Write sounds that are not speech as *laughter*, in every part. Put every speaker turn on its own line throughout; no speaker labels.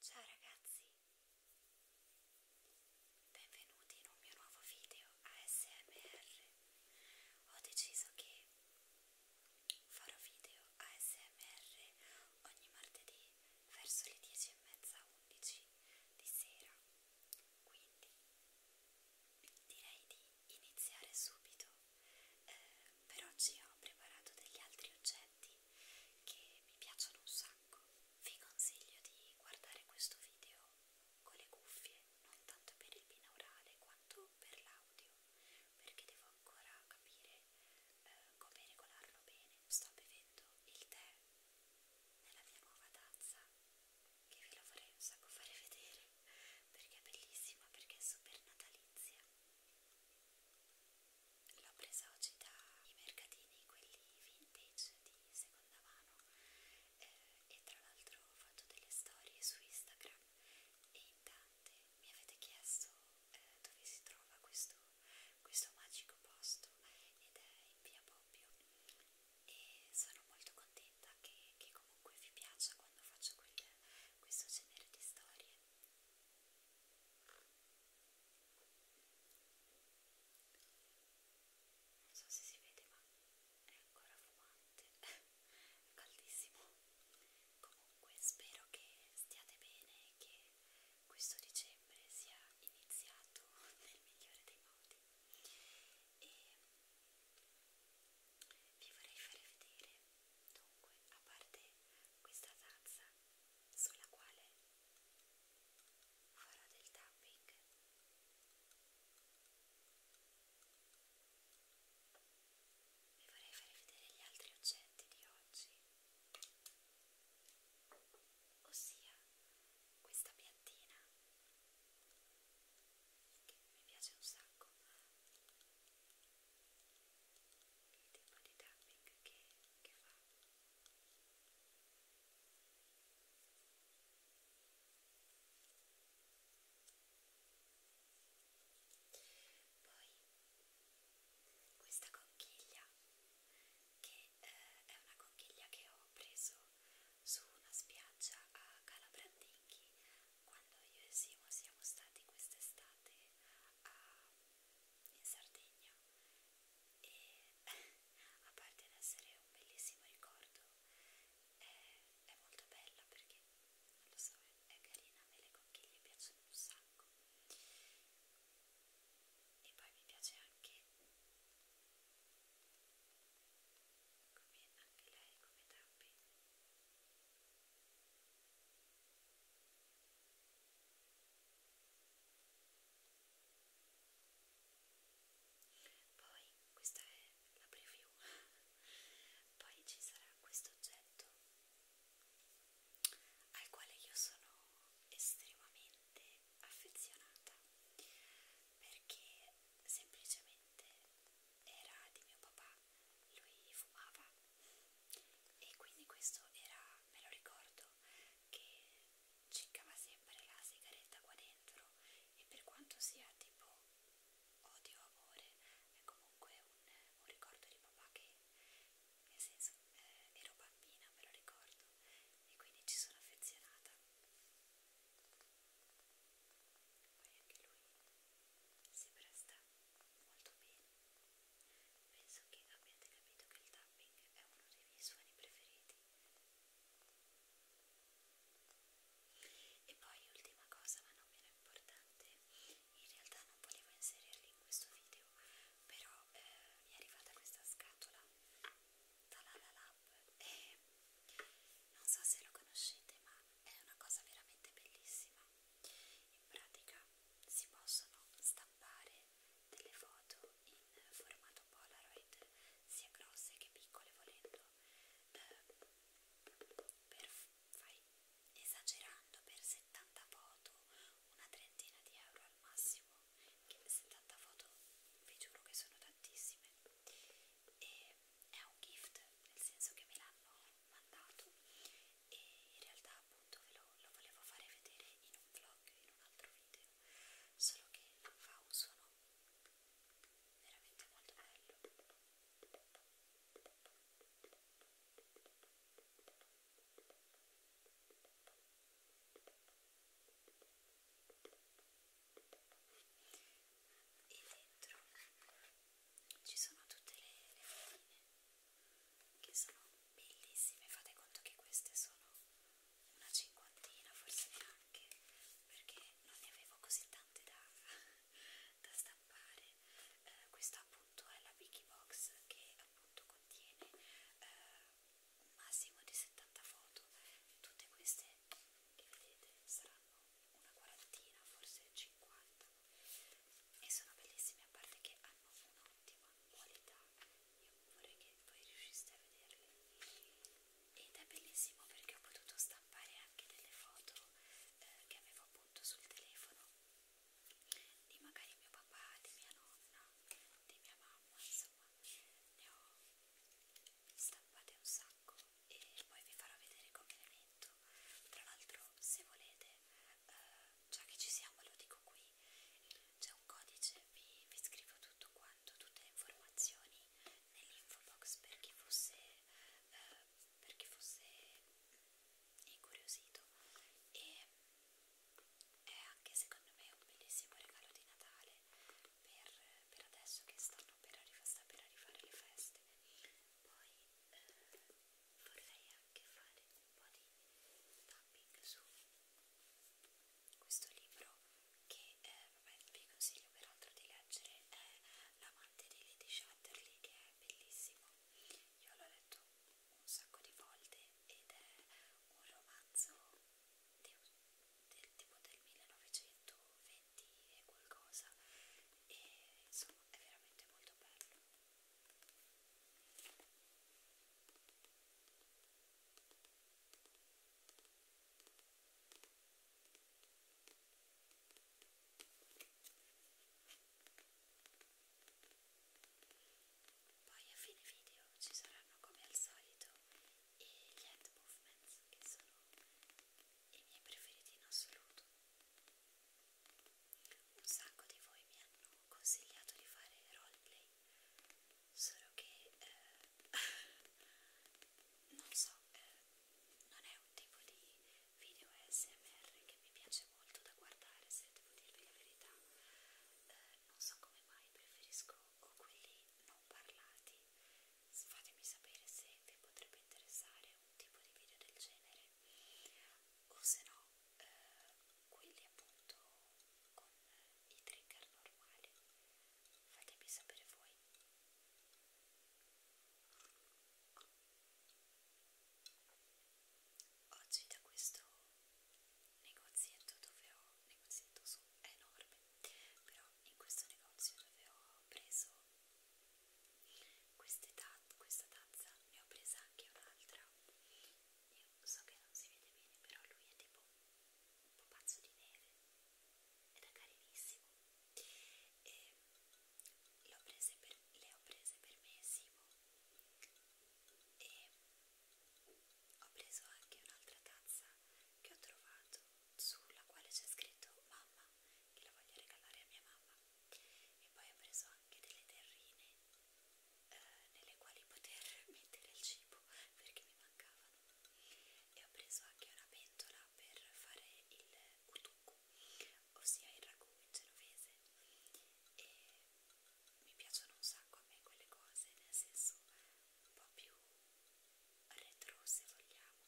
Ciao ragazzi, benvenuti in un mio nuovo video ASMR. Ho deciso che farò video ASMR ogni martedì verso le 10 e mezza 11 di sera. Quindi direi di iniziare subito eh, per oggi ho preparato degli altri oggetti che mi piacciono un sacco. Vi consiglio di guardare questo video con le cuffie, non tanto per il binaurale quanto per l'audio, perché devo ancora capire eh, come regolarlo bene. Sto bevendo il tè nella mia nuova tazza che ve la vorrei un sacco fare vedere perché è bellissima, perché è super natalizia L'ho presa oggi dai mercatini, quelli vintage di seconda mano eh, e tra l'altro ho fatto delle storie su Instagram e in tante mi avete chiesto eh, dove si trova questo, questo magico posto ed è in via Bobbio e sono molto contenta che, che comunque vi piaccia quando faccio quel, questo genere di storie non so se si vede ma è ancora fumante *laughs* è caldissimo comunque spero che stiate bene e che questo dicembre sia iniziato *laughs* nel migliore dei modi e vi vorrei fare vedere Dunque, a parte questa tazza sulla quale farò del tapping, vi vorrei fare vedere gli altri oggetti di oggi, ossia questa piattina che mi piace un sacco il tipo di tapping che, che fa poi questa conchiglia che eh, è una conchiglia che ho preso su una spiaggia a Calabrandinghi quando io e Simo siamo stati quest'estate a, in Sardegna e *laughs* a parte di essere un bellissimo ricordo è, è molto bella perché non lo so, è carina, a me le conchiglie piacciono un sacco e poi mi piace anche come anche lei come tappi poi, questa è la preview, *laughs* poi ci sarà questo oggetto al quale io sono estremamente affezionata perché semplicemente era di mio papà lui fumava e quindi questo era, me lo ricordo, che ciccava sempre la sigaretta qua dentro e per quanto sia tipo odio amore è comunque un, un ricordo di papà che nel senso eh, ero bambina me lo ricordo e quindi ci sono affezionata poi anche lui si presta molto bene Penso che abbiate capito che il tapping è uno dei miei suoni preferiti. E poi, ultima cosa, ma non meno importante, in realtà non volevo inserirli in questo video, però eh, mi è arrivata questa scatola dalla La eh, Lab e non so se lo conoscete, ma è una cosa veramente bellissima. In pratica si possono stampare delle foto in formato Polaroid, sia grosse che piccole volendo, ehm, per, fai, esagerando per 70 foto, una trentina di euro al massimo, che 70 foto vi giuro che sono tantissime. E è un gift, nel senso che me l'hanno mandato e in realtà appunto ve lo, lo volevo fare vedere in un vlog, in un altro video, solo che fa un suono veramente molto bello. E dentro ci sono tutte le, le fatine che sono bellissime fate conto che queste sono una cinquantina forse neanche perché non ne avevo così tante da, *laughs* da stampare eh, questa appunto è la Wiki Box che appunto contiene eh, un massimo di 70 foto tutte queste che vedete saranno una quarantina forse 50 e sono bellissimi a parte che hanno un'ottima qualità io vorrei che voi riusciste a vederli ed è bellissimo perché ho potuto stampare anche delle foto eh, che avevo appunto sul telefono di magari mio papà, di mia nonna, di mia mamma insomma ne ho stampate un sacco e poi vi farò vedere come le metto questo tra l'altro se volete eh, già che ci siamo lo dico qui c'è un codice vi, vi scrivo tutto quanto tutte le informazioni nell'info box per chi fosse eh, per chi fosse incuriosito e è anche secondo me un bellissimo regalo di Natale per, per adesso che stanno per, arriva, sta per arrivare le feste poi eh, vorrei anche fare un po' di tapping su questo libro che eh, vabbè, vi consiglio peraltro di leggere è L'amante di Lady Chatterley che è bellissimo io l'ho letto un sacco di volte ed è un romanzo del, del tipo del 1920 e qualcosa e insomma è veramente molto bello poi a fine video ci saranno come al solito e gli hand movements che sono i miei preferiti in assoluto un sacco di voi mi hanno consigliato di fare roleplay, solo che eh, *laughs* non so, eh, non è un tipo di video ASMR che mi piace molto da guardare, se devo dirvi la verità. Eh, non so come mai preferisco o quelli non parlati. Fatemi sapere se vi potrebbe interessare un tipo di video del genere o se no eh, quelli appunto con i trigger normali fatemi sapere voi oggi da questo negozietto dove ho negozietto su è enorme però in questo negozio dove ho preso queste taz questa tazza ne ho presa anche un'altra. Io so che non si vede bene, però lui è tipo un po' pazzo di neve ed è carinissimo. E le ho prese per, le ho prese per me e Simo. E ho preso anche un'altra tazza che ho trovato sulla quale c'è scritto mamma che la voglio regalare a mia mamma e poi ho preso anche delle terrine eh, nelle quali poter *laughs* mettere il cibo perché mi mancavano e ho preso anche una pentola per fare il utuku ossia il ragù in genovese e mi piacciono un sacco a me quelle cose nel senso un po' più retro se vogliamo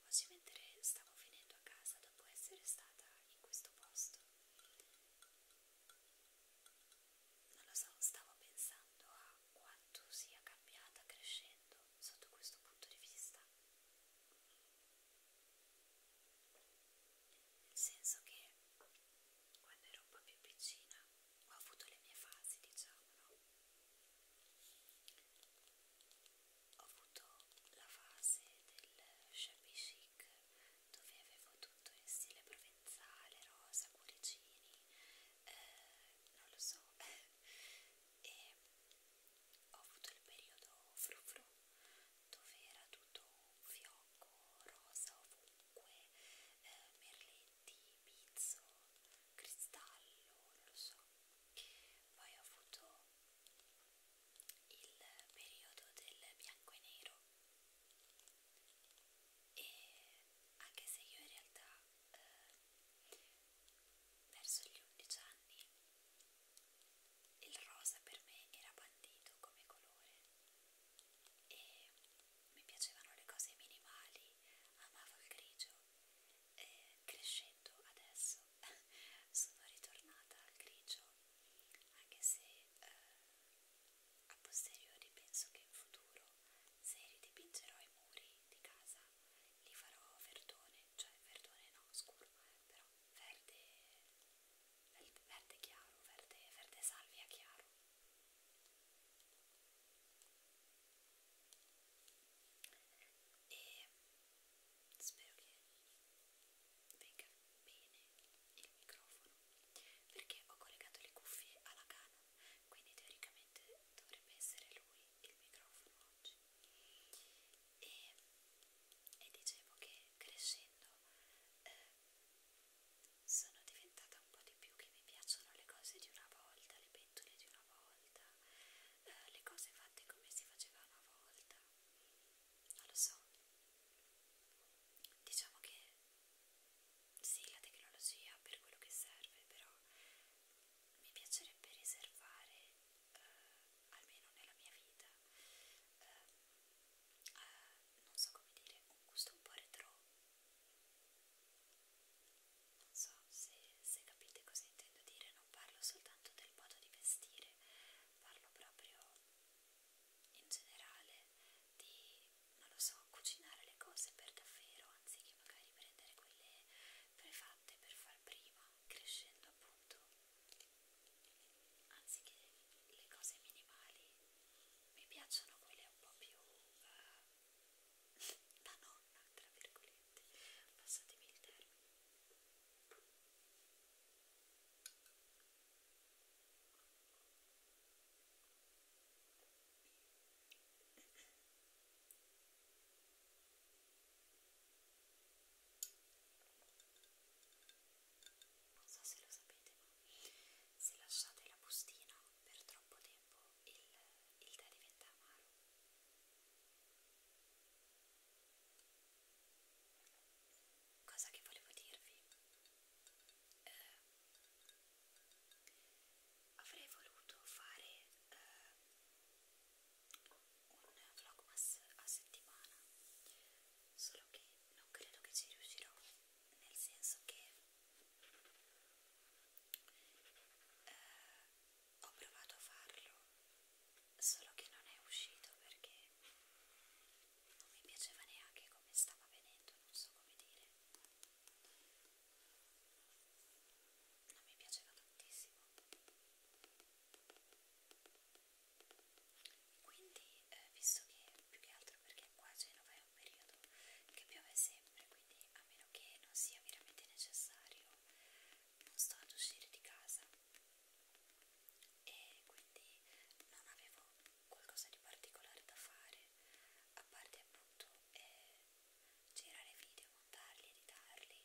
oggi mentre stavo venendo a casa dopo essere stata in questo posto non lo so, stavo pensando a quanto sia cambiata crescendo sotto questo punto di vista nel senso che quando ero un po' più piccina ho avuto le mie fasi diciamo no? ho avuto la fase del shabby chic dove avevo tutto in stile provenzale, rosa, cuoricini, eh, non lo so, *laughs* e ho avuto il periodo frufru dove era tutto fiocco, rosa ovunque, eh, merletti, pizzo, cristallo, non lo so. Poi ho avuto il periodo del bianco e nero e anche se io in realtà eh, verso gli 11 anni il rosa per me era bandito come colore e mi piacevano le cose minimali, amavo il grigio e crescendo adesso *laughs* sono ritornata al grigio anche se eh, a posteriori penso che in futuro se ridipingerò i muri di casa li farò verdone, cioè verdone no, scuro, però verde, verde chiaro, verde, verde salvia chiaro. E spero che venga bene il microfono perché ho collegato le cuffie alla Canon quindi teoricamente dovrebbe essere lui il microfono oggi e, e dicevo che crescendo eh, sono diventata un po' di più che mi piacciono le cose di una volta, le pentole di una volta, eh, le cose fatte come si faceva una volta. Non lo so, diciamo che sì, la tecnologia per quello che serve, però mi piacerebbe riservare, eh, almeno nella mia vita, ehm, eh, a, non so come dire, un gusto un po' retro. Non so se, se capite cosa intendo dire, non parlo soltanto del modo di vestire, parlo proprio in generale di, non lo so, cucinare le cose per davvero anziché magari prendere quelle prefatte per far prima, crescendo appunto, anziché le cose minimali, mi piacciono quelle un po' più uh, *laughs* da nonna, tra virgolette, passatemi il termine. Non so se lo sapete, ma se lasciate la bustina per troppo tempo il, il tè diventa amaro cosa che volevo dirvi eh, avrei voluto fare eh, un vlogmas a settimana solo che non credo che ci riuscirò nel senso che eh, ho provato a farlo solo che non è uscito perché non mi piaceva neanche come stava venendo, non so come dire. Non mi piaceva tantissimo. Quindi, eh, visto che più che altro perché qua a Genova è un periodo che piove sempre, quindi a meno che non sia veramente necessario, non sto ad uscire di casa e quindi non avevo qualcosa di particolare da fare a parte appunto eh, girare video, montarli, editarli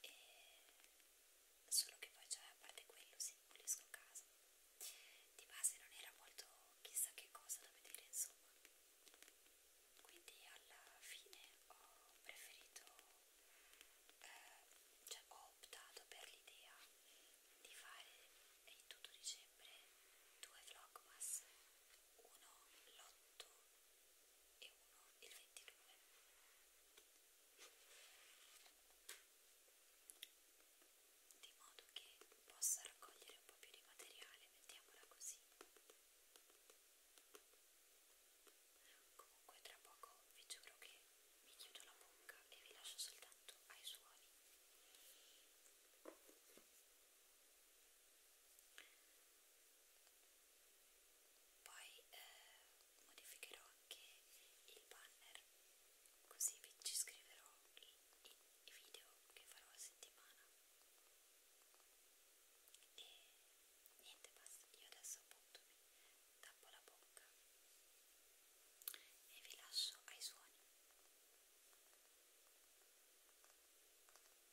e solo che poi cioè, a parte quello si pulisco casa di base non era molto chissà che cosa da vedere insomma quindi alla fine ho preferito eh, cioè ho optato per l'idea di fare in tutto dicembre due vlogmas, uno l'8 e uno il 22. Di modo che possa raccogliere un po' più di materiale, mettiamola così. Comunque tra poco vi giuro che mi chiudo la bocca e vi lascio soltanto ai suoni poi eh, modificherò anche il banner così vi ci scriverò i, i, i video che farò a settimana e niente basta io adesso appunto mi tappo la bocca e vi lascio ai suoni. Ecco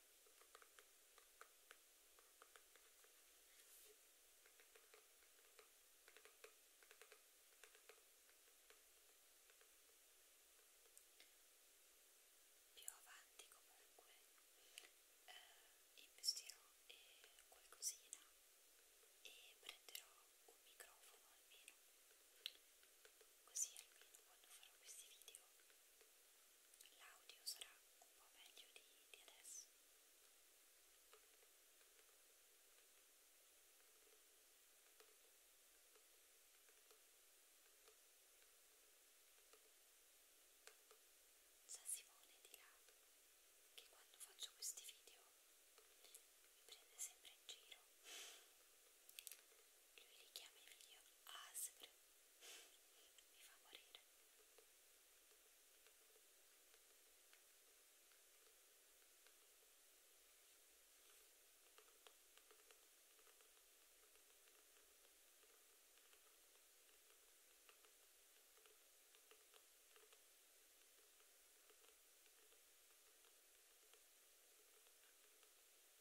Più avanti comunque eh, investirò eh, qualcosina e prenderò un microfono almeno così almeno quando farò questi video l'audio sarà un po' meglio di, di adesso sa Simone di là che quando faccio questi video mi prende sempre in giro lui li chiama i video ASMR mi fa morire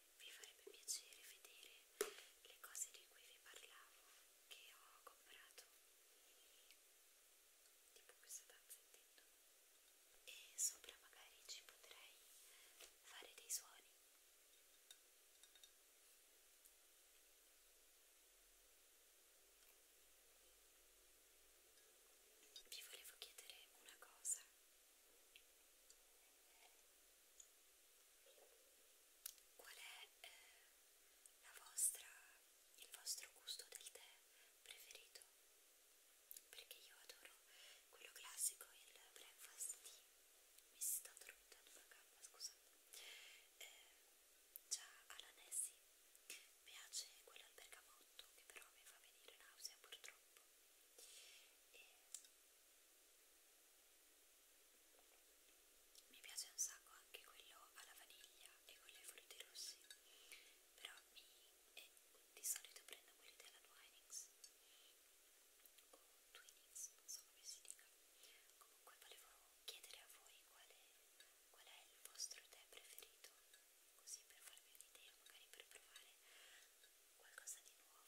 vi farebbe piacere vedere le cose di cui vi parlavo che ho comprato tipo questa tazza intendo e sopra magari ci potrei fare dei suoni vi volevo chiedere una cosa qual è eh, la vostra, il vostro gusto del tè preferito perché io adoro quello classico, il breakfast tea mi si sta addormentando una gamba, scusate eh, già alla Nessie piace quello al bergamotto che però mi fa venire nausea purtroppo e mi piace un sacco anche quello alla vaniglia e quello ai frutti rossi, però mi, eh, di solito prendo quelli della Twinings o Twinings, non so come si dica. Comunque volevo chiedere a voi qual è, qual è il vostro tè preferito, così per farvi un'idea, magari per provare qualcosa di nuovo.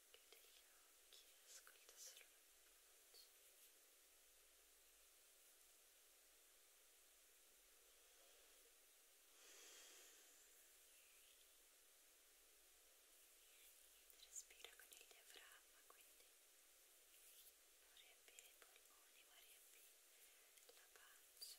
chiude gli occhi e ascolta solo la voce respira con il diaframma quindi non riempire i polmoni ma riempire la pancia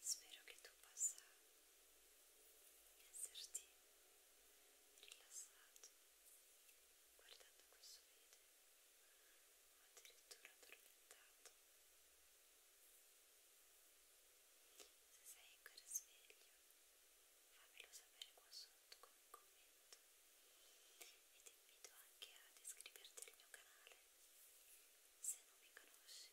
Spero che tu possa esserti rilassato guardando questo video o addirittura addormentato. Se sei ancora sveglio, fammelo sapere qua sotto con un commento e ti invito anche ad iscriverti al mio canale se non mi conosci